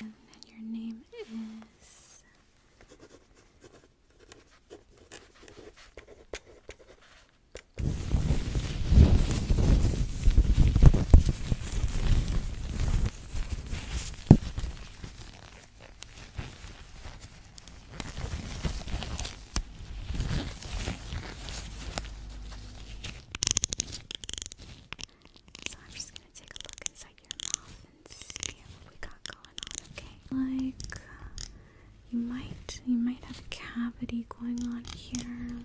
And your name is so I'm just gonna take a look inside your mouth and see what we got going on, okay? Like you might you might have a cavity going on here.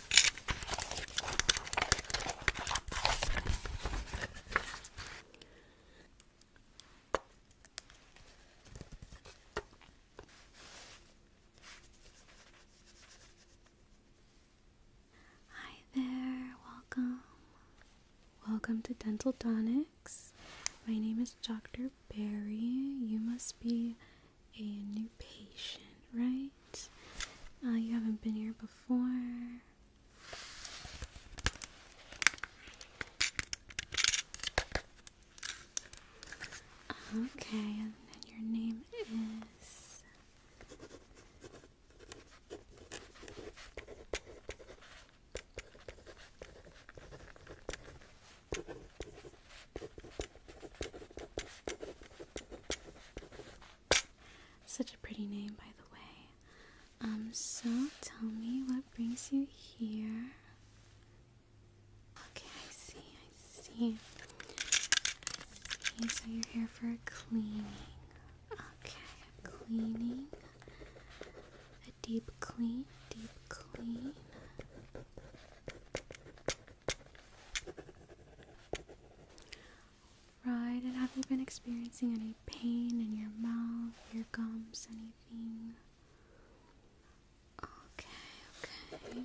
Hi there, welcome. Welcome to Dental Donics. My name is Dr. Barry. You must be a new patient, right? Uh, you haven't been here before. Okay, and then your name is such a pretty name, by the way. Um, so tell me what brings you here. Okay, I see, I see. I So you're here for cleaning. Okay, a cleaning. A deep clean, deep clean right, and have you been experiencing any pain in your mouth, your gums, anything? Okay, okay.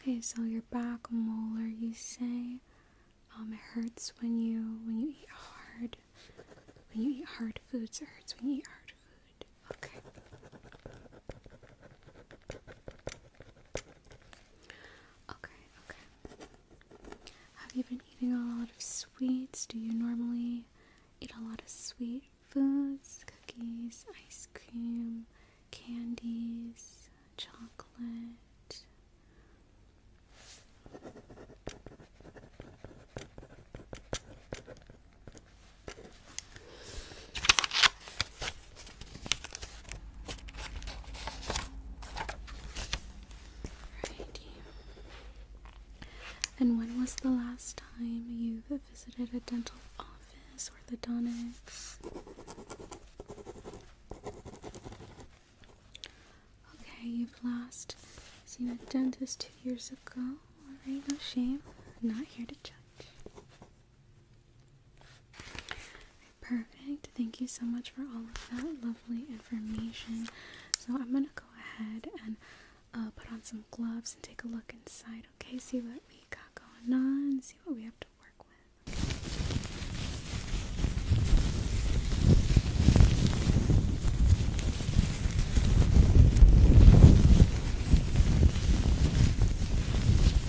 Okay, so your back molar, you say, um, it hurts when you when you eat hard when you eat hard foods. It hurts when you eat hard food. Okay. Okay, okay. Have you been eating a lot of sweets? Do you normally eat a lot of sweet foods? Cookies, ice cream, candies, chocolate. And when was the last time you visited a dental office, orthodontics? Okay, you've last seen a dentist two years ago. Alright, no shame. not here to judge. Perfect. Thank you so much for all of that lovely information. So I'm gonna go ahead and uh, put on some gloves and take a look inside. Okay, see what we got going on. See what we have to work with.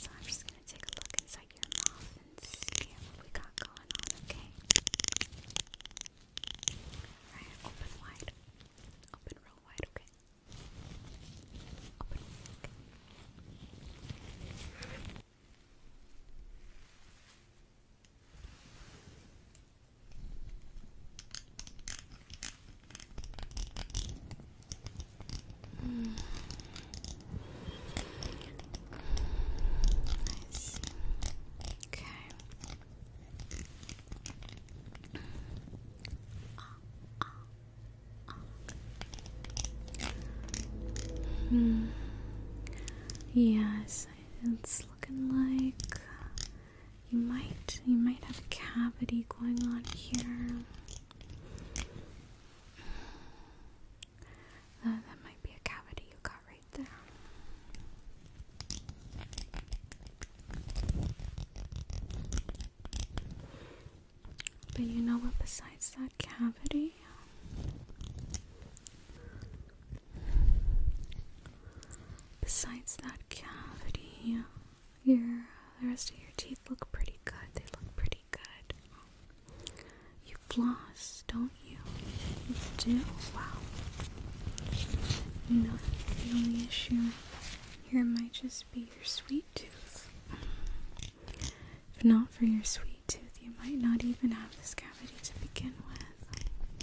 So I'm just gonna take a look inside your mouth and see what we got going on, okay? Alright, open wide. Open real wide, okay? Open okay. Okay, Okay. Hmm. Yes, it's looking like you might you might have a cavity going on here. Uh, that might be a cavity you got right there. But you know what, besides that cavity, besides that cavity, your the rest of your teeth look pretty good. They look pretty good. You floss, don't you? You do. Wow. You know, the only issue here might just be your sweet tooth. If not for your sweet tooth, you might not even have this cavity to begin with.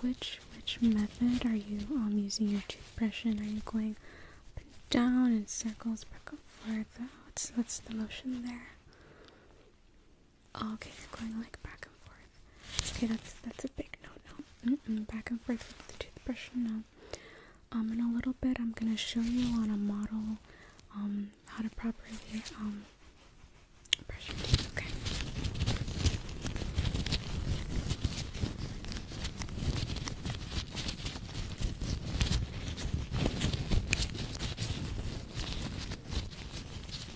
Which which method are you um using your toothbrush in? Are you going up and down in circles, back and forth? Oh, what's what's the motion there? Oh, okay, going like back and forth. Okay, that's that's a big no no. back and forth with the toothbrush, no. Um, in a little bit, I'm gonna show you on a model, um, how to properly um brush your teeth. Okay,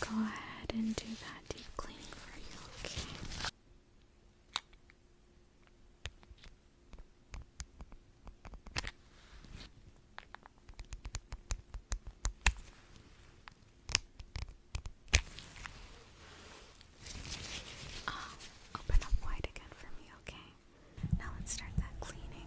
go ahead and do that deep cleaning for you, okay? Ah, open up wide again for me, okay? Now let's start that cleaning,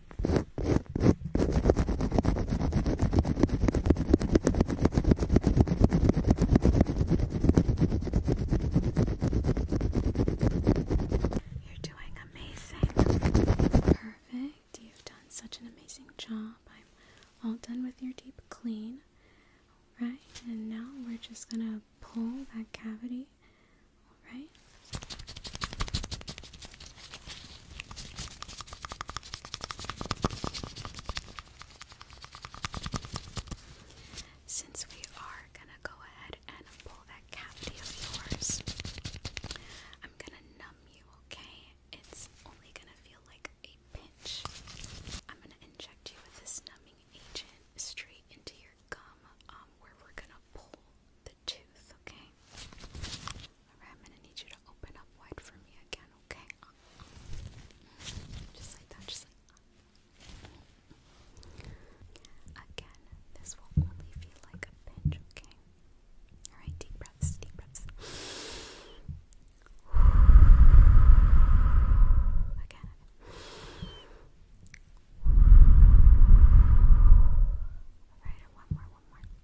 You're doing amazing. Perfect. You've done such an amazing job. I'm all done with your deep clean. right? and now we're just gonna pull that cavity. All right. Since we are going to go ahead and pull that cavity of yours, I'm going to numb you, okay? It's only going to feel like a pinch. I'm going to inject you with this numbing agent straight into your gum um, where we're going to pull the tooth, okay? Alright, I'm gonna need you to open up wide for me again, okay? Just like that, just like that. Again, this will only feel like a pinch, okay? Alright, deep breaths, deep breaths. Again. Alright, one more, one more.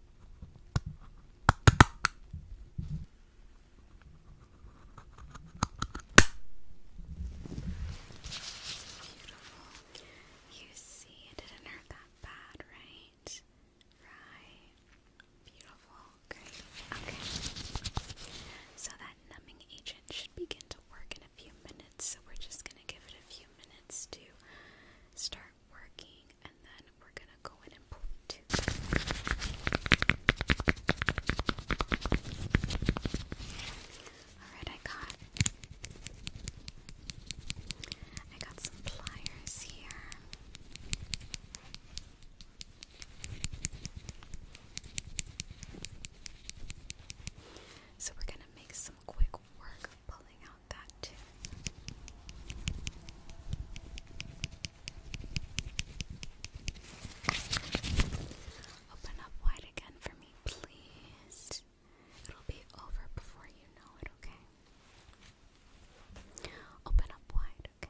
Beautiful. You see, it didn't hurt that bad, right? Right. Beautiful. Great. Okay. So that numbing agent should begin to work in a few minutes, so we're just going to give it a few minutes to start working and then we're gonna go in and pull. Alright, I got I got some pliers here. So we're gonna make some quick work of pulling out Open up wide again for me, please. It'll be over before you know it, okay? Open up wide, Okay,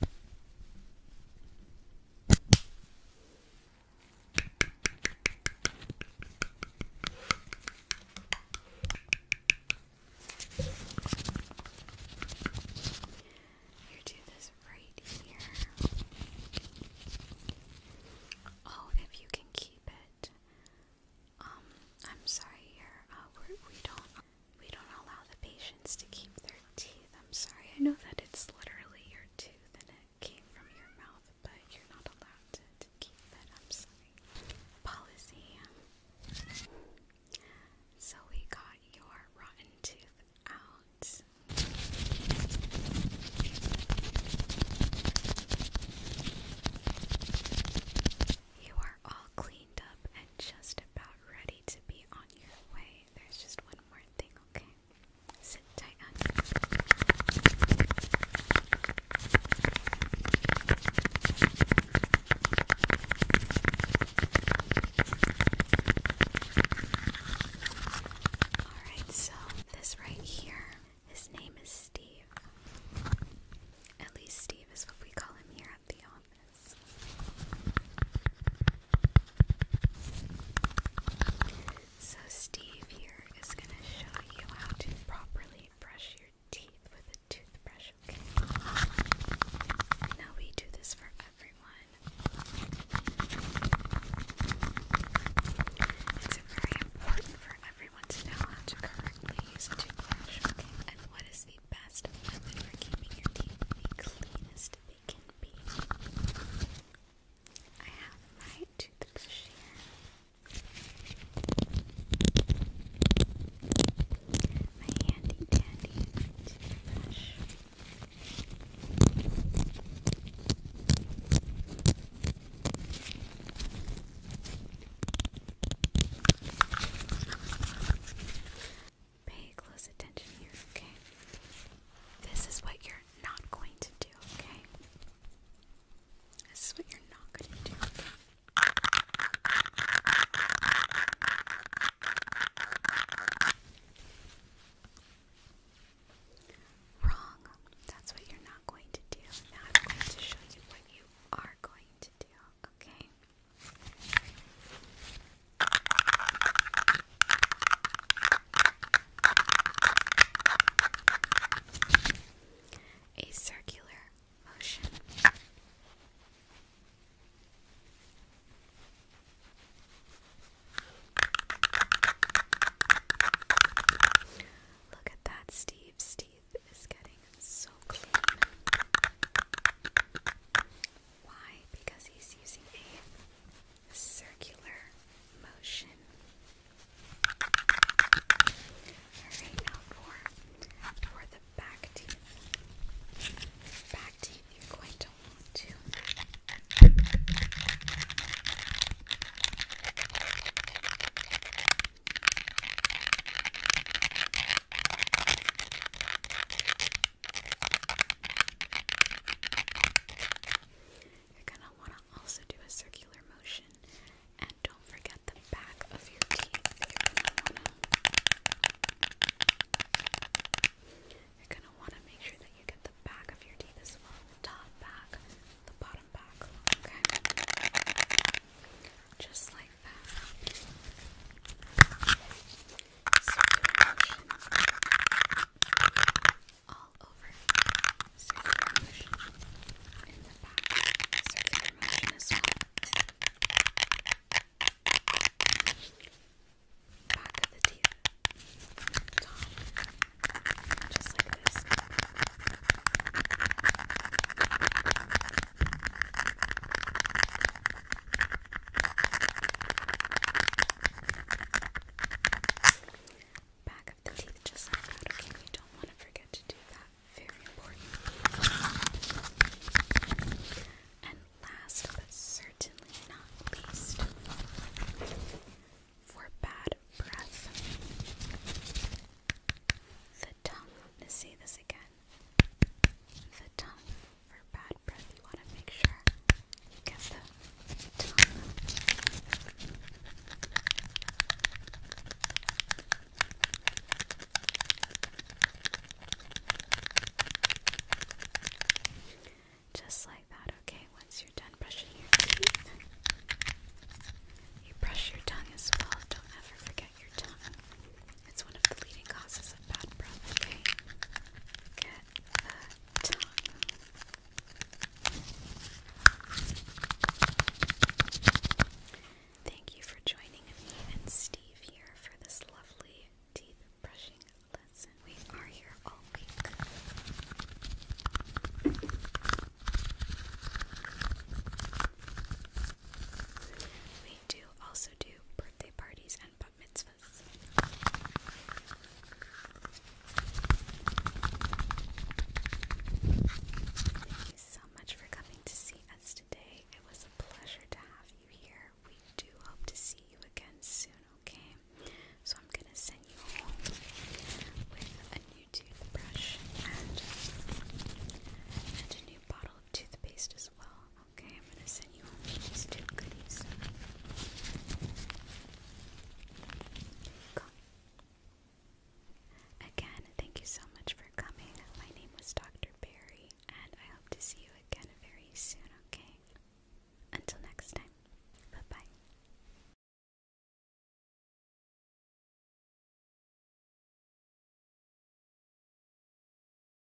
You do this right here. Oh, if you can keep it. Um, I'm sorry, uh, we don't. We don't allow the patients to keep their teeth. I'm sorry, I know that it's literally your tooth and it came from your mouth, but you're not allowed to, keep it. I'm sorry. Policy. So we got your rotten tooth out. You are all cleaned up and just about ready to be on your way. There's just one more thing, okay? Sit tight, Alright, so this right here, his name is Steve. At least Steve is what we call him here so, Steve here is going to show you how to properly brush your teeth with a toothbrush, okay? Now, we do this for everyone. It's very important for everyone to know how to correctly use a toothbrush, okay? And what is the the best method for keeping your teeth the cleanest they can be. I have my toothbrush My handy dandy toothbrush. Pay close attention here, okay? This is what you're not going to do, okay? This is what you're not going to do. Wrong. That's what you're not going to do. Now I'm going to show you what you are going to do, okay? A circular motion. Look at that, Steve. Steve is getting so clean. Why? Because he's using a circular motion. Alright, now for, for the back teeth. Back teeth, you're going to want to. You're going to want to also do a circular motion and don't forget the back of your teeth. You're going to want to make sure that you get the back of your teeth as well, top back, the bottom back, okay? Just like like that. Circulation all over. Circular motion in the back. Circular motion as well. Back of the teeth. Top. Just like this. Back of the teeth just like that, okay? You don't want to forget to do that. Very important. And last but certainly not least, for bad breath, the tongue. Let's see this again the tongue for bad breath. You want to make sure you get the tongue. Just like that, okay? Once you're done brushing your teeth, you brush your tongue as well. Don't ever forget your tongue. It's one of the leading causes of bad breath, okay? Get the tongue. Thank you for joining me and Steve here for this lovely teeth brushing lesson. We are here all week. We do also do birthday parties and Thank you so much for coming to see us today. It was a pleasure to have you here. We do hope to see you again soon, okay? So I'm gonna send you home with a new toothbrush and a new bottle of toothpaste as well. Okay, I'm gonna send you these two goodies. Again, thank you so much for coming. My name was Dr. Barry, and I hope to see you again very soon, okay? Until next time, bye bye.